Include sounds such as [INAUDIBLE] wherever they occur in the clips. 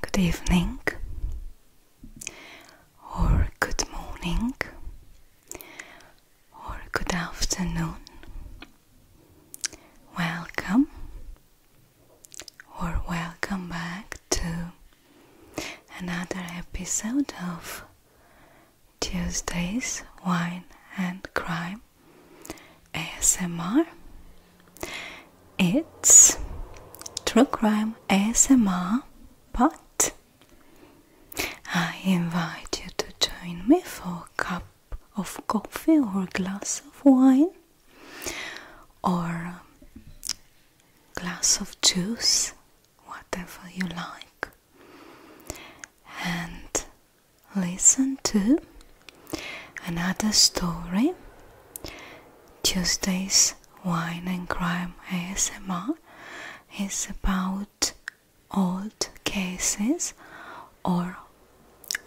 Good evening or good morning or good afternoon. Welcome or welcome back to another episode of Tuesdays Wine and Crime ASMR. It's True Crime ASMR, but I invite you to join me for a cup of coffee or a glass of wine or a glass of juice, whatever you like, and listen to Another story Tuesday's Wine and Crime ASMR is about old cases or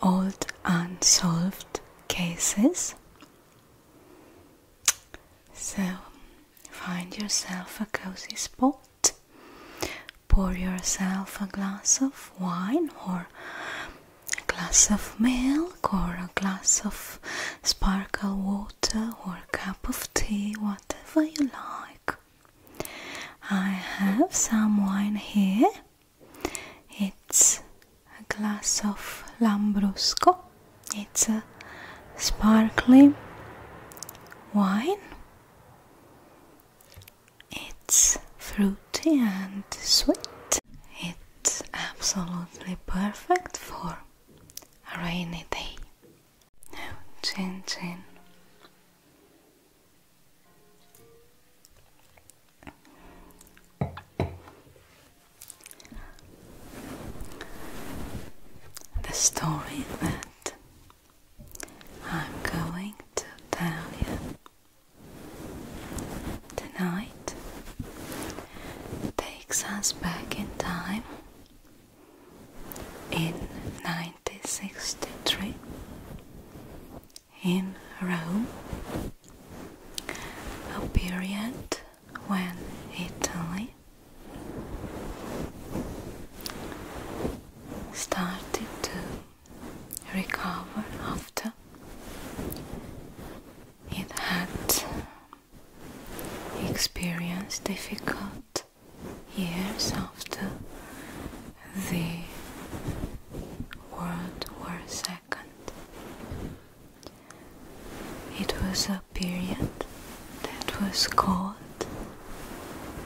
old unsolved cases. So find yourself a cozy spot, pour yourself a glass of wine or a glass of milk or a glass of sparkling water or a cup of tea, whatever you like. I have some wine here. It's a glass of Lambrusco. It's a sparkling wine. It's fruit and sweet. It's absolutely perfect for a rainy day. Now, The story that I'm going to tell you Tonight takes us back in time in 1963 in Rome, a period when Italy started to recover after it had experienced difficult years after the World War II. It was a period that was called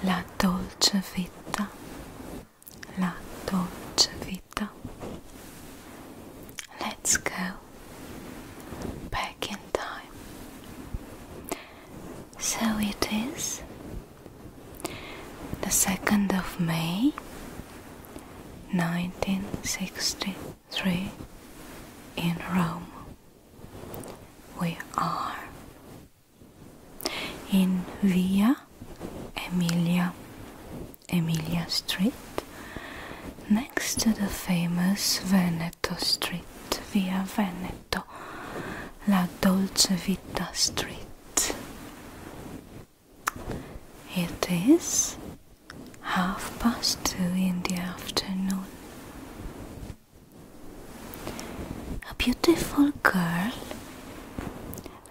La Dolce Vita La Dolce Vita. Let's go back in time. So it is the 2nd of May 1963 in Rome. We are in Via Emilia, Emilia Street, next to the famous Veneto Street, Via Veneto, La Dolce Vita Street. It is half past two in the afternoon. A beautiful girl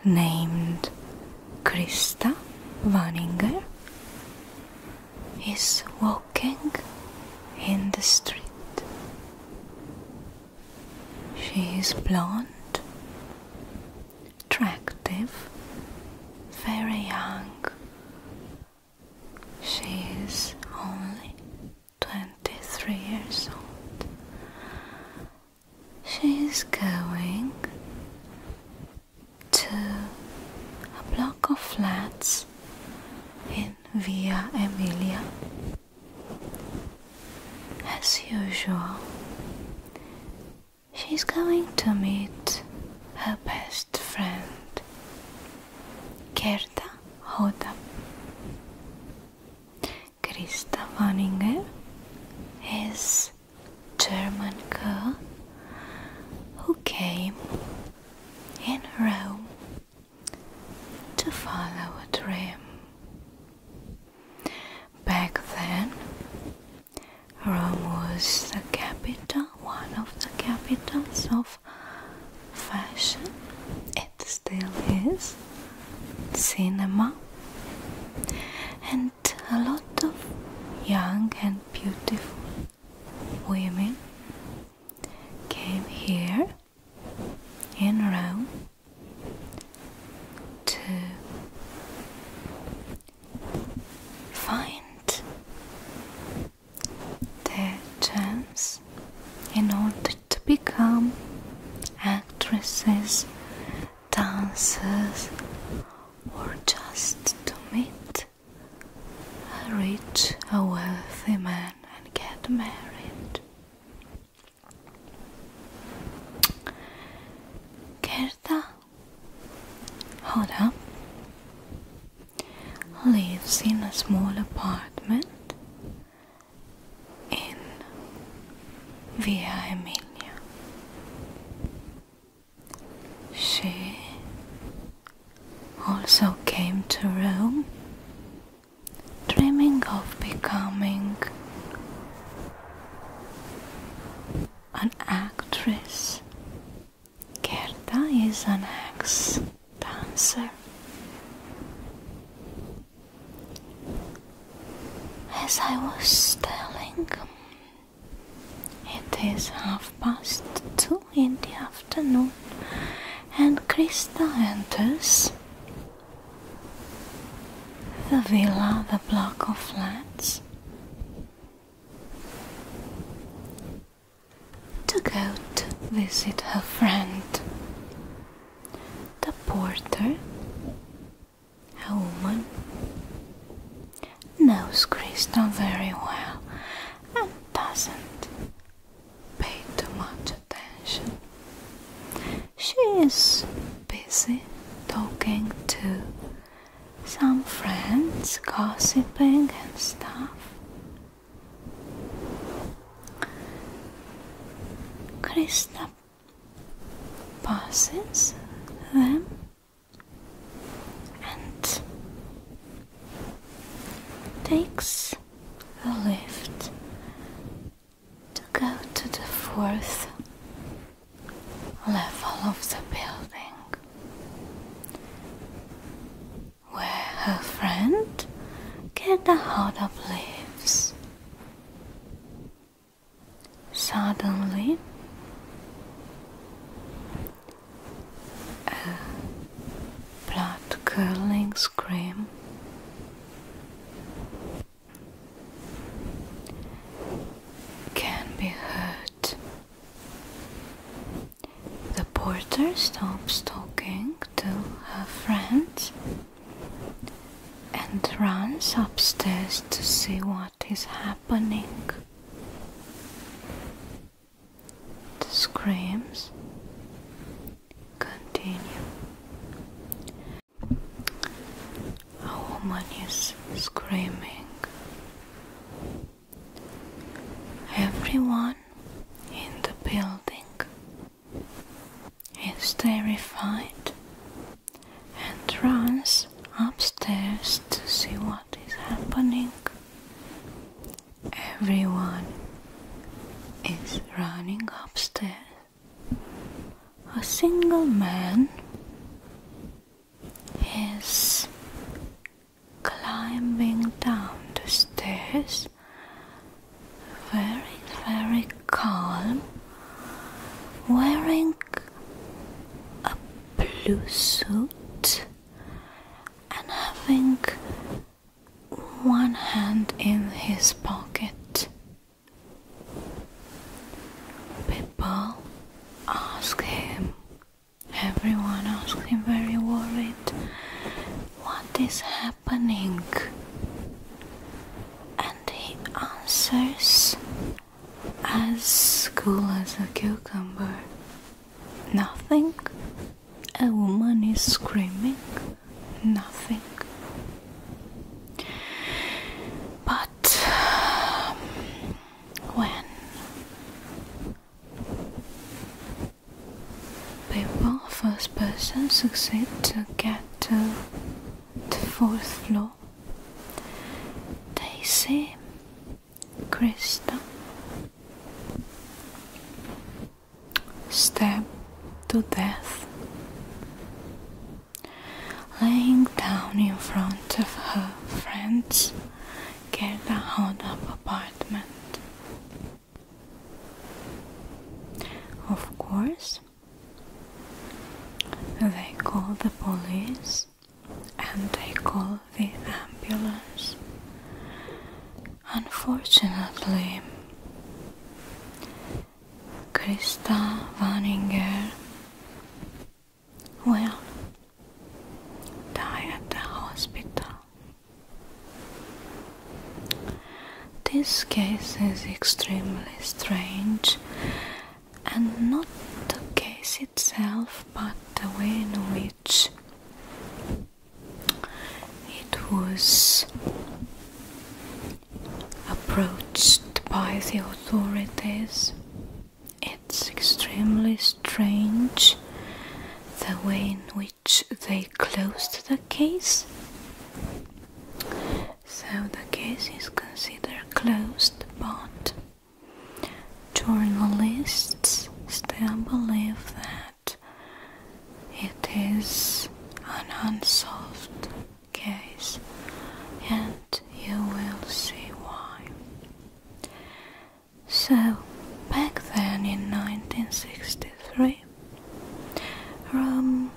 named Krista Vaninger is walking in the street. She is blonde, attractive, very young. She is only 23 years old She's going to a block of flats in Via Emilia. As usual, she's going to meet her best friend, Gerda Hoda. Krista Wanninger, his German girl who came in Rome to follow a dream. Back then, Rome was the capital, one of the capitals of fashion. It still is cinema. And a lot of young and beautiful women came here in Rome to find their chance in order to become actresses dances or just to meet a rich, a wealthy man and get married. Gerda Hoda lives in a small apartment in Via Emilia. She also came to Rome, dreaming of becoming an actress. Gerda is an ex dancer as I was telling, it is half past two in the afternoon, and Krista enters the villa, the block of flats, to go to visit her friend, the porter a woman knows Krishna very well and doesn't pay too much attention. She is busy talking to some friends, gossiping and stuff. Krishna passes them and takes a lift to go to the fourth level of the building where her friend Gerda Hodop lives. Suddenly, a uh, blood curling scream can be heard. The porter stops talking to her friends and runs upstairs to see what is happening. The screams continue. A woman is screaming. Everyone in the building is terrified and runs upstairs to see what is happening. Everyone is running upstairs. A single man is climbing down the stairs very, very calm wearing a blue suit and having one hand in his pocket. People ask him, everyone asks him, very worried, what is happening? and he answers as cool as a cucumber. Nothing. A woman is screaming. Nothing. But um, when people, first person, succeed to get to the fourth floor. Daisy, Krista, stabbed to death, laying down in front of her friends, get Gerda Hodab apartment. Of course, they call the police and they call the ambulance. Unfortunately, Krista Vaninger will die at the hospital. This case is extremely strange and not the case itself but the way in which it was approached by the authorities. It's extremely strange the way in which they closed the case so the case is considered closed, but journalists still believe that it is an unsolved case, and you will see why. So, back then in 1963, Rome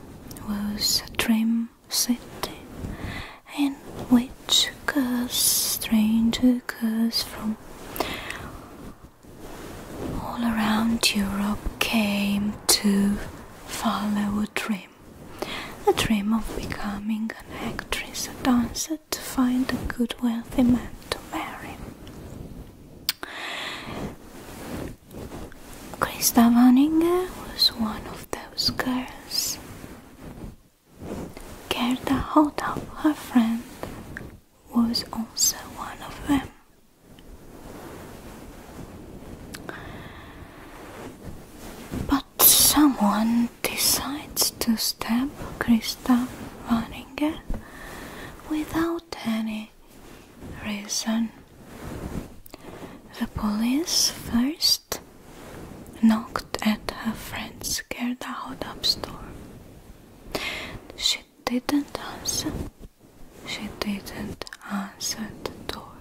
was a dream city in which a stranger girls from all around Europe came to follow a dream. A dream of becoming an actress, a dancer, to find a good wealthy man to marry. Christa Vaninger was one of those girls. Gerda Hotab, her friend, was also one of them. But someone decides to stab Christa Vaninger without any reason. The police first knocked at her friend's scared out store. She didn't answer. She didn't answer the door.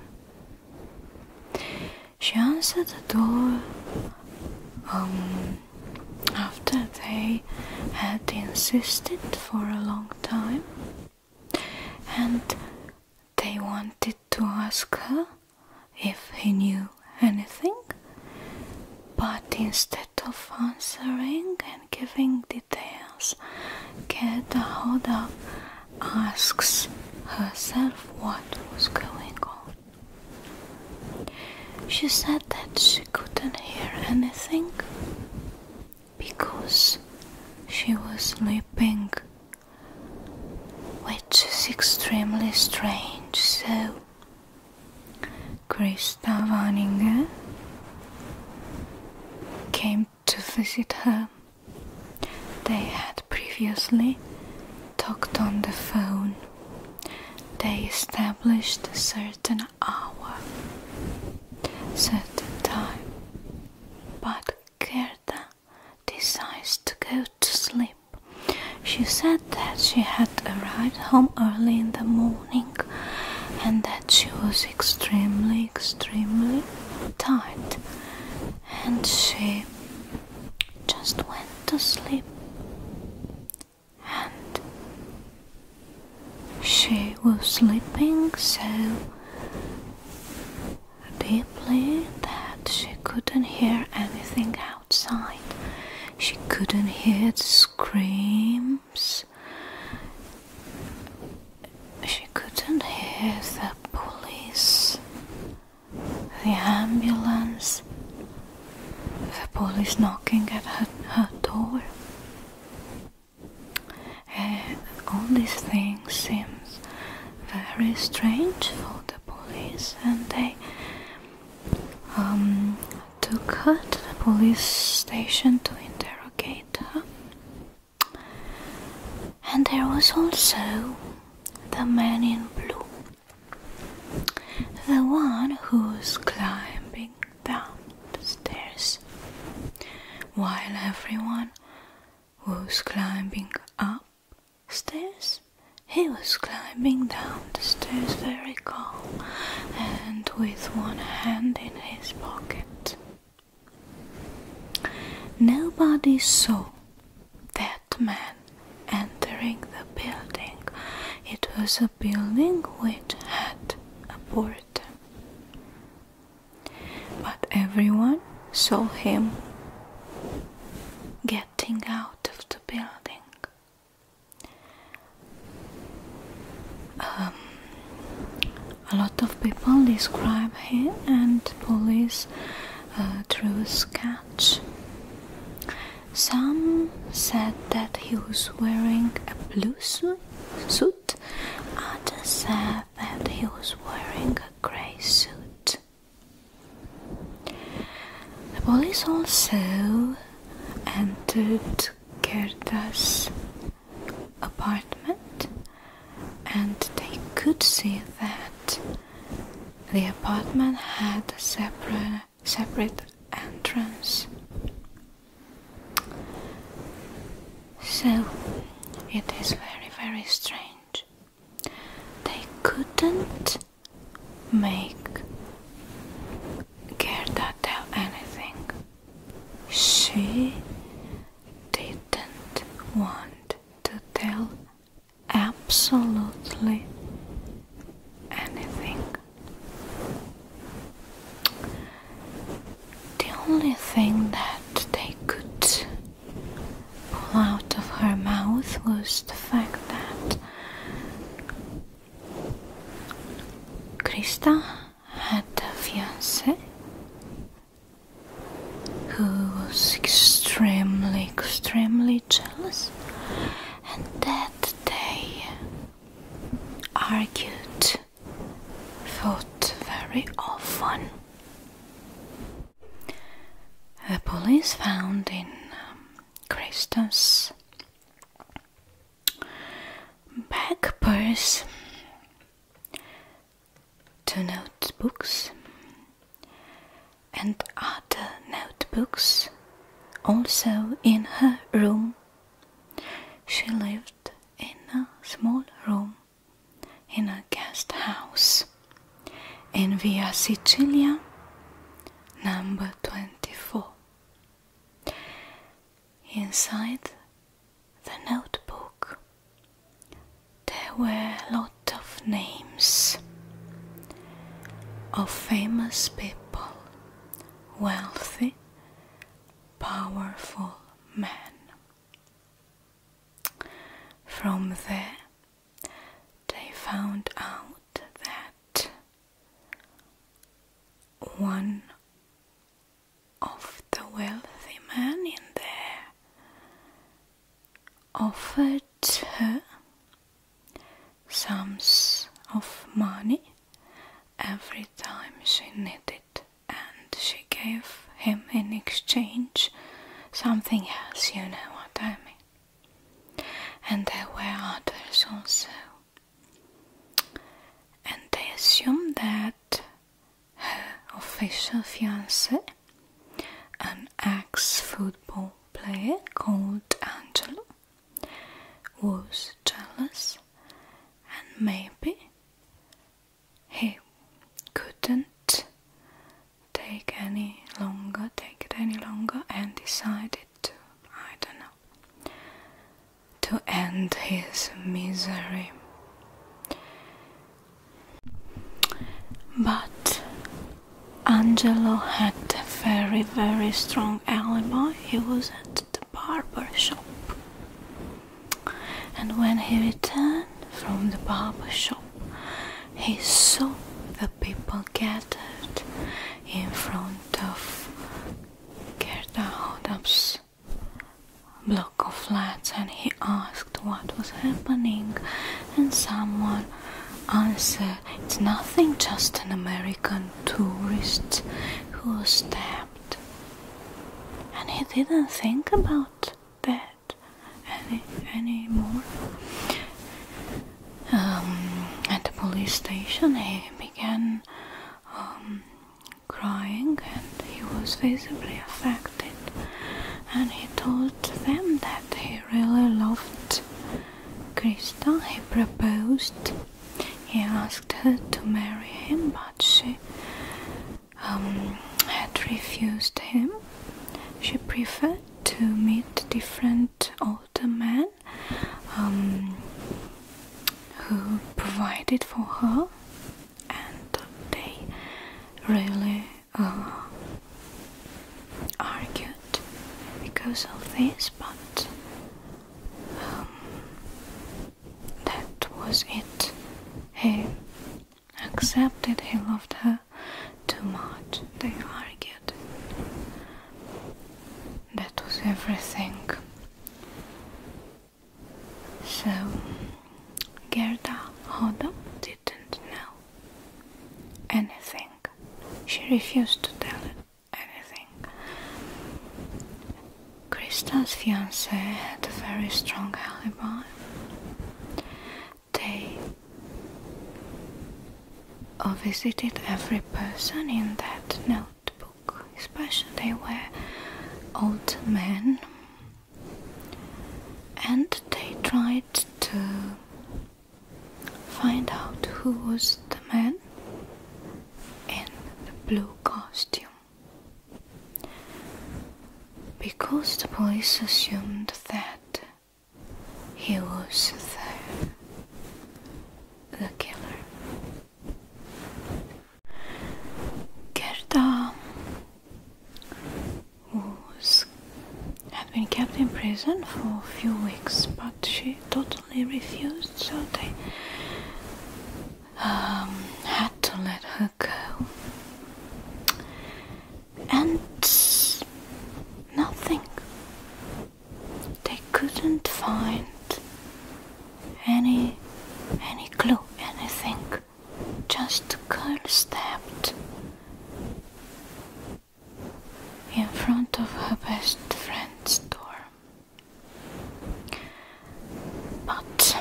She answered the door um, after they had insisted for a long time and they wanted to ask her if he knew anything, but instead of answering and giving details, Kedahoda asks herself what was going on. She said that she couldn't hear anything because she was sleeping, which is extremely strange. So, Krista Vaninger came to visit her. They had previously talked on the phone. They established a certain hour, certain time, but Gerda decides to go to sleep. She said that she had arrived home early in the morning and that she was extremely, extremely tired. And she just went to sleep. And she was sleeping so deeply that she couldn't hear anything outside. She couldn't hear the screams. She couldn't hear the police, the ambulance, the police knocking at her door all these things seems very strange for the police, and they um, took her to the police station to interrogate her. And there was also the man in blue, the one who's climbing down the stairs, while everyone was climbing up stairs. He was climbing down the stairs very calm and with one hand in his pocket. Nobody saw that man entering the building. It was a building which had a board. But everyone saw him getting out of the building. Um, a lot of people describe him and police uh, through sketch. Some said that he was wearing a blue suit, others said that he was wearing a grey suit. The police also entered Gerda's apartment and they could see that the apartment had a separate, separate entrance. So it is very, very strange. They couldn't make Gerda tell anything. She didn't want to tell absolutely anything. The only thing that they could pull out of her mouth was the fact that Krista had a fiance who was extremely, extremely jealous, and that they argued thought very often. The police found in um, Christos back purse two notebooks and other notebooks also in her room she lived in a small room in a guest house in Via Sicilia number 24. Inside the notebook there were a lot of names of famous people, wealthy, powerful men. From there, they found out that one of the wealthy men in there offered her sums of money every time she needed it and she gave him in exchange something else, you know what I mean. And there were others also. And they assumed that her official fiance, an ex football player called Angelo, was jealous and maybe he couldn't take any longer, take it any longer, and decided to, I don't know, to end his misery. But Angelo had a very, very strong alibi. He was at the barber shop. And when he returned from the barber shop, he saw the people gathered in front of Gerda block of flats and he asked what was happening and someone answered it's nothing just an American tourist who's there and he didn't think about that any anymore. Um, at the police station, he began um, crying, and he was visibly affected. And he told them that he really loved Krista. He proposed he asked her to marry him, but she um, had refused him. She preferred to meet different older men um, who provided for her, and they really uh, argued because of this. But um, that was it. He accepted he loved her too much, they argued. That was everything. So, Gerda Hodel didn't know anything. She refused to tell anything. Krista's fiance had a very strong alibi. They visited every person in that notebook, especially they were old men, and they tried to find out who was the man in the blue costume. Because the police assumed that he was the, the killer. Gerda was, had been kept in prison for a few weeks, but she totally refused, so they um, had to let her go. And nothing. They couldn't find any any clue, anything. Just the girl stabbed in front of her best friend's door. But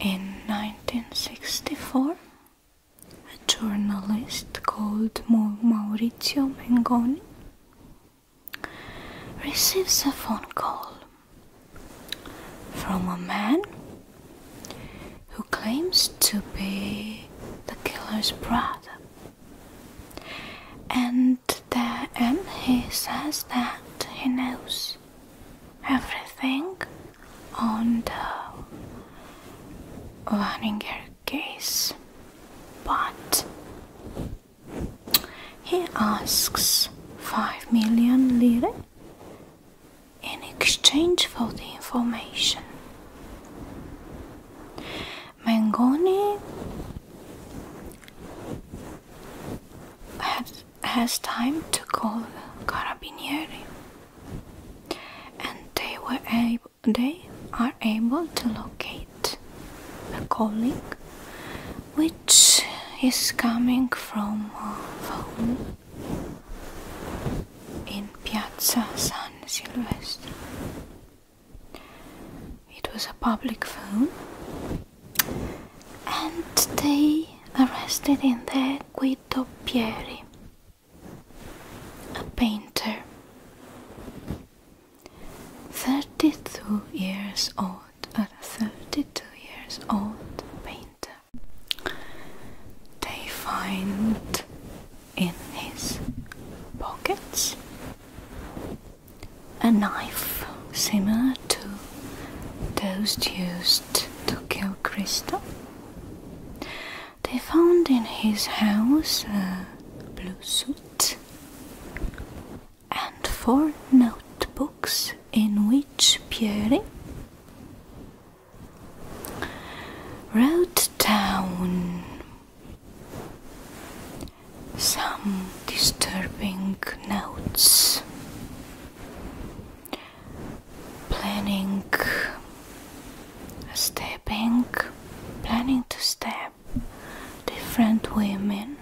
in 1964, a journalist called Maurizio Mengoni receives a phone call from a man who claims to be the killer's brother. And then um, he says that he knows everything on the Vaninger case, but he asks 5 million lire in exchange for the information. Mangoni has, has time to call carabinieri, and they were able, they are able to locate the calling, which is coming from a uh, phone in Piazza San Silvestro. It was a public phone, and they arrested in there Guido Pieri, a painter, 32 years old, a uh, 32 years old painter. They find in his pockets a knife similar to those used to kill Krista. They found in his house a blue suit and four notebooks in which Pierre wrote down some disturbing notes, planning stepping, planning to stab different women,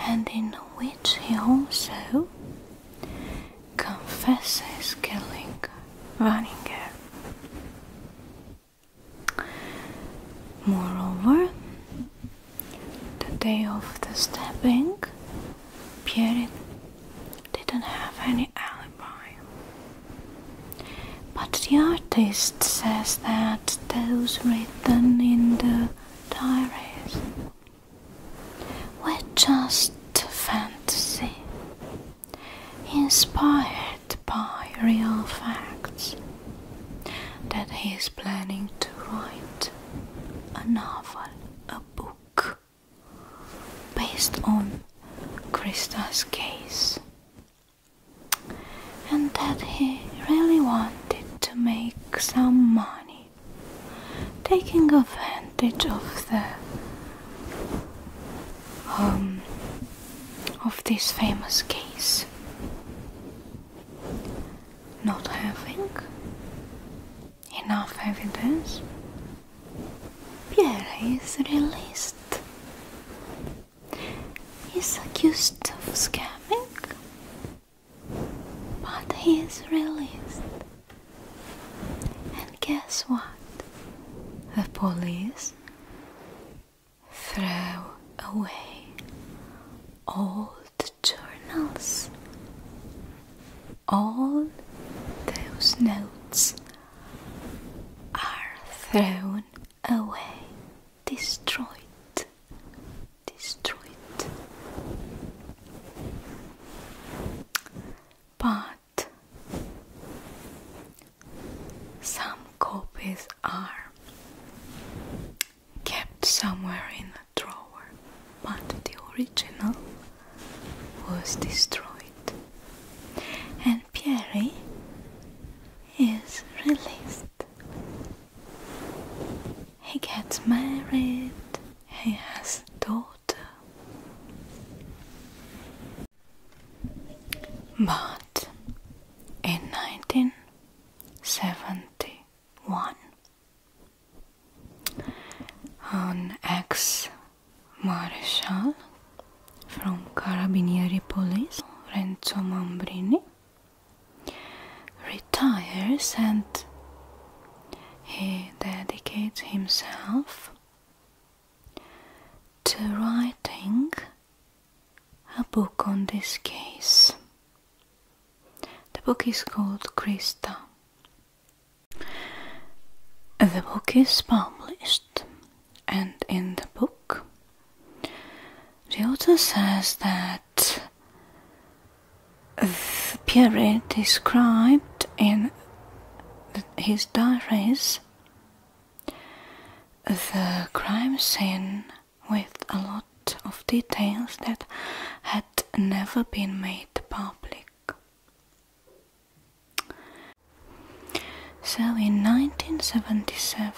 and in which he also confesses killing Vaninger. Moreover, the day of the stabbing, Pierre didn't have any alibi. But the artist says that those written in the diaries were just fantasy inspired by real facts, that he is planning to write a novel, a book, based on Krista's case, and that he really wanted to make some money, taking advantage of the um, of this famous case not having enough evidence, Pierre is released. He's accused of scamming, but he is released. And guess what? The police Throw away all the journals, all those notes are thrown away, destroyed, destroyed. But some copies are kept somewhere in a drawer, but the original was destroyed, and Pierre is released. He gets married, he has a daughter. But in 1971, an ex marshall from Carabinieri Police, Renzo Mambrini, retires and he dedicates himself to writing a book on this case. The book is called Krista. The book is published, and in the book, the author says that the period described in his diaries the crime scene with a lot of details that had never been made public. So in 1977,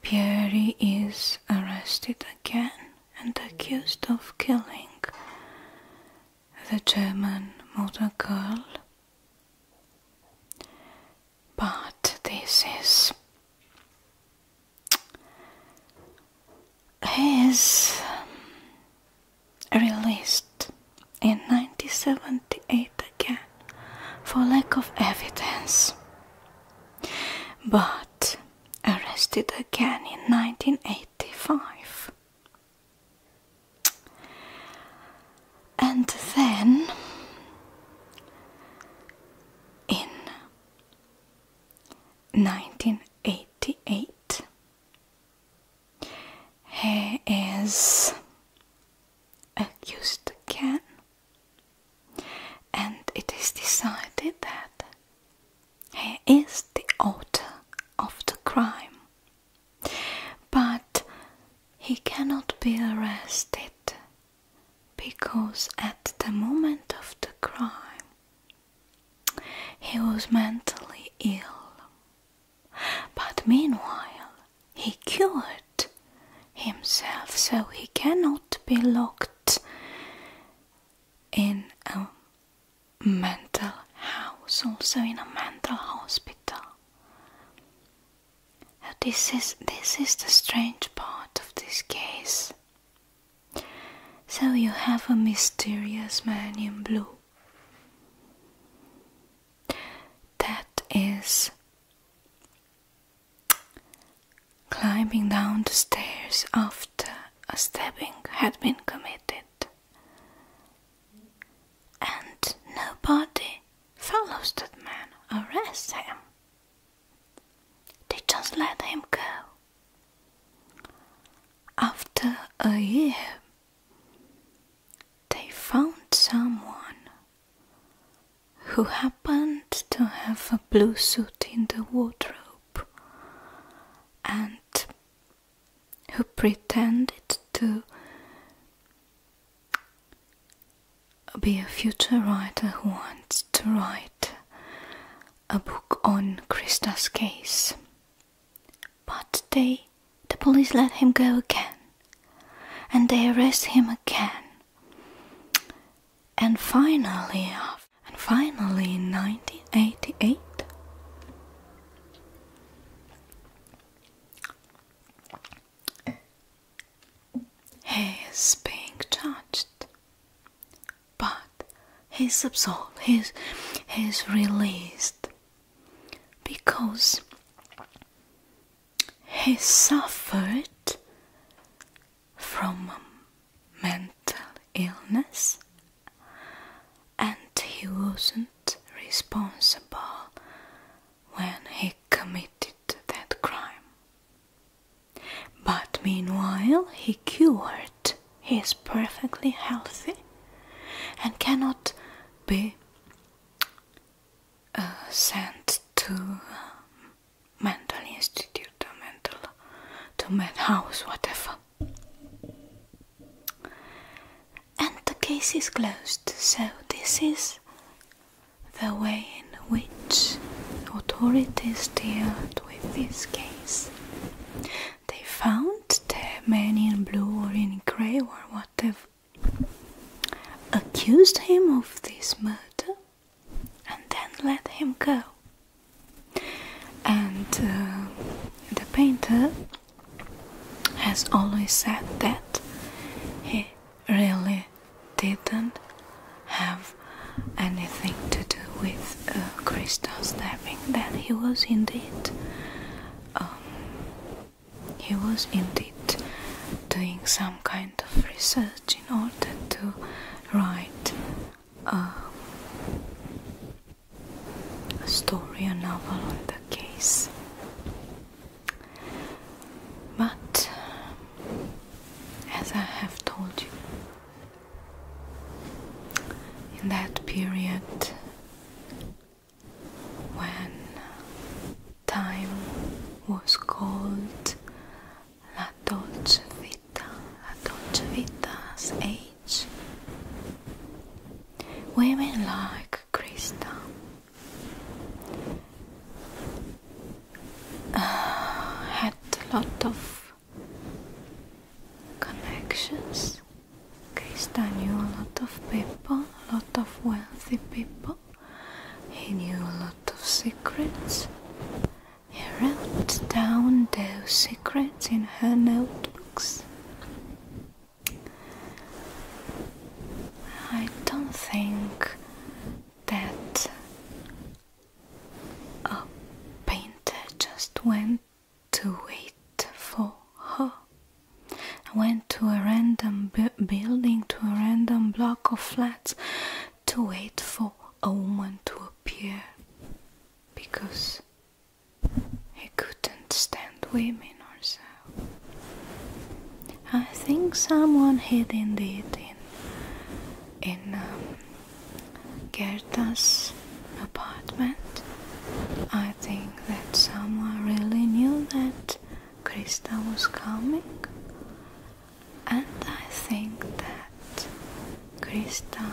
Pierre is arrested again and accused of killing the German motor girl but this is he um, released in 1978 again for lack of evidence, but arrested again in 1985 and then in 1988, he is accused again, and it is decided that he is the author of the crime but he cannot be arrested because at the moment of the crime he was mentally ill. But meanwhile he cured himself so he cannot be locked in a mental house, also in a mental hospital this is this is the strange part of this case. So you have a mysterious man in blue. That is climbing down the stairs after a stabbing had been committed. And nobody follows that man Arrest him. They just let him go. After a year, they found someone who happened to have a blue suit in the wardrobe and who pretended to be a future writer who wants to write a book on Krista's case. But they, the police let him go again, and they arrest him again. And finally, and finally, in 1988, he is being touched, but he's absolved, he's, he's released because he suffered from mental illness and he wasn't responsible when he committed that crime. But meanwhile, he cured, he is perfectly healthy and cannot be uh, sent to um, mental institute or mental to mad house, whatever and the case is closed. So, this is the way in which authorities dealt with this case. They found the man in blue or in grey or whatever accused him of this murder and then let him go. And uh, the painter has always said that he really didn't have anything to do with uh, death. that he was indeed. Um, he was indeed doing some kind of research in order to write uh, a story, a novel on the case. But as I have told you, in that period when time was called La Dolce Vita, La Dolce Vita's age, women like Krista. [SIGHS] had a lot of connections. Krista knew a lot of people, a lot of wealthy people. He knew a lot of secrets. He wrote down those secrets in her notebooks. I don't think that a painter just went to wait for her. I went to a random building, to a random block of flats to wait for a woman to appear because he couldn't stand women or so. I think someone hid in the in in um, Gerda's apartment. I think that someone really knew that Krista was coming, and I think that Krista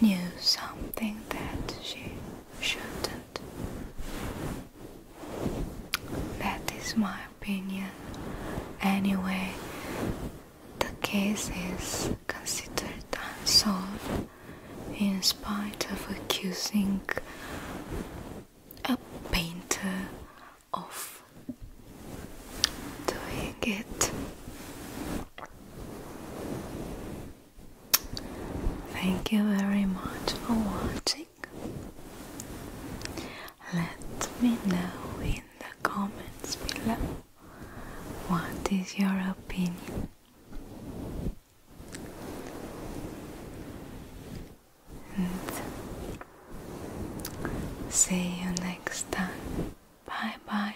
knew something that she shouldn't. That is my opinion. Anyway, the case is considered unsolved in spite of accusing a painter of doing it. Thank you very much for watching. Let me know in the comments below what is your opinion. And see you next time. Bye bye.